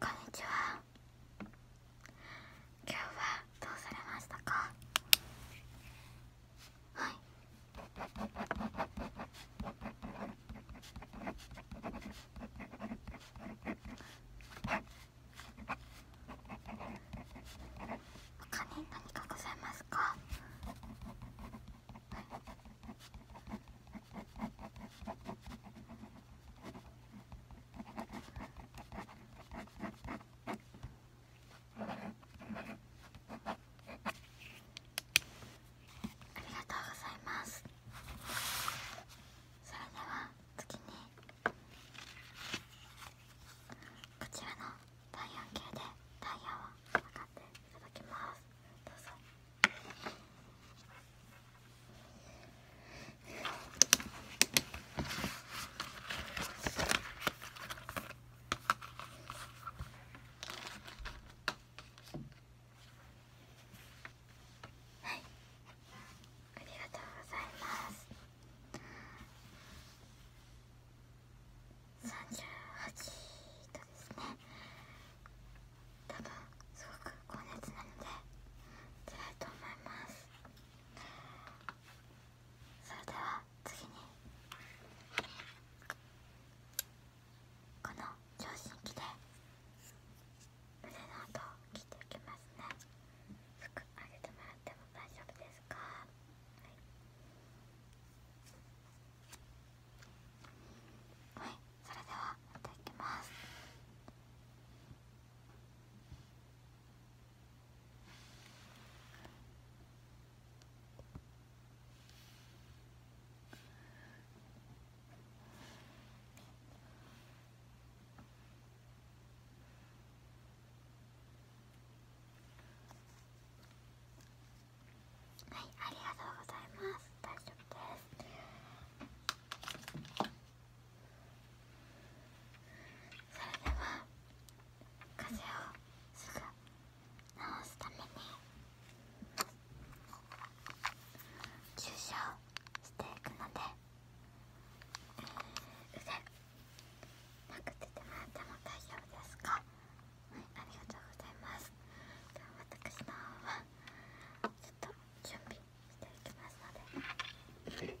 こんにちは今日はどうされましたかはい他に何かございますかありがとうございますそれでは次にこちらの体温計で体温を測っていただきますどうぞはいありがとうございます38度ですね多分すごく高熱なので辛いと思いますそれでは次にこの聴診腕の音を聞ていきますね服上げてもらっても大丈夫ですか、はい、それではやたてきます。はいありがとうございます大丈夫ですそれでは風邪をすぐ治すために注射をしていくので、えー、腕なくててもら大丈夫ですかはいありがとうございますでは私の方はちょっと準備していきますので。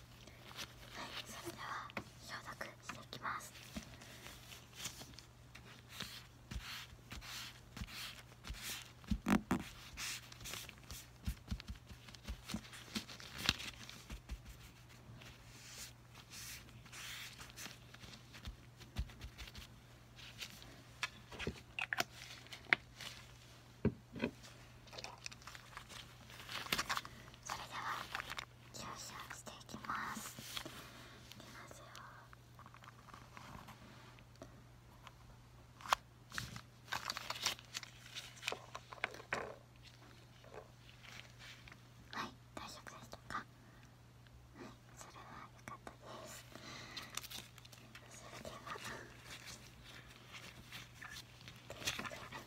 はいそれでは消毒していきますそれではシャしていきますはい大丈夫でしかはいそれは良かったですそれでは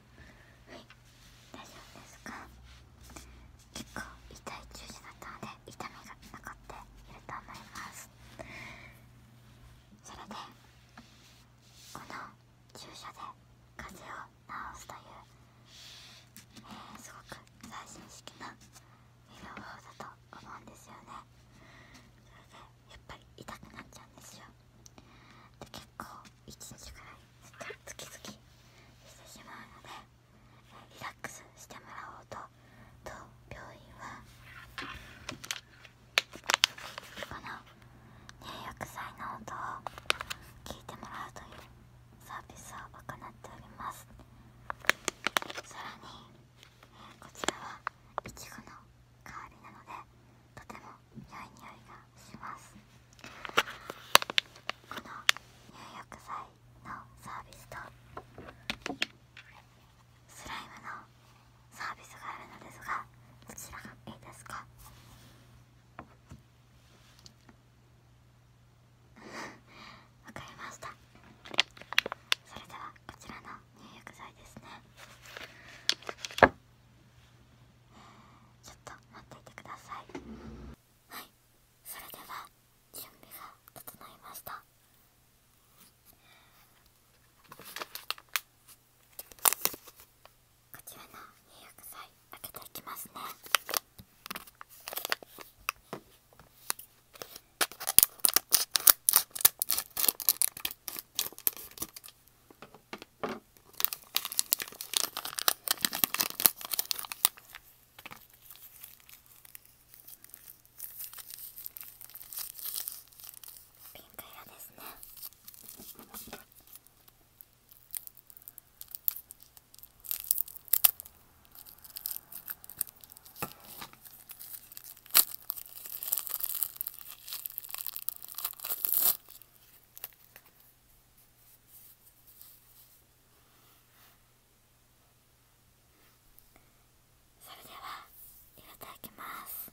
はい大丈夫ですか結構痛い中止だったので痛みがなかっていると思いますそれでこの注射で風邪を治すという、えすごく最新式な医療法だと思うんですよねやっぱり痛くなっちゃうんですよで結構1日ぐらい月々してしまうのでリラックスしてもらおうとと病院はこの入浴剤の音を聞いてもらうというサービスを行っておりますさらにこちらはいちごの代わりなのでとても良い匂いがしますこの入浴剤のサービスとスライムのサービスがあるのですがどちらがいいですかわかりましたそれではこちらの入浴剤ですねちょっと待っていてくださいはいそれでは準備が整いましたこちらの入浴剤開けていきますねピンク色ですねそれではいただきます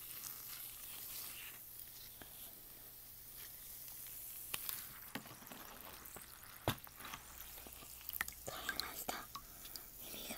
取れました指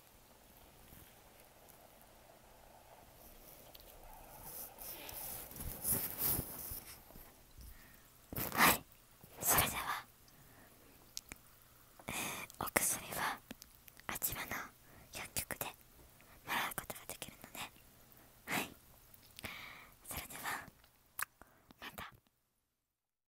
はいそれでは、えお薬はあちらの薬局でもらうことができるのではいそれではまた。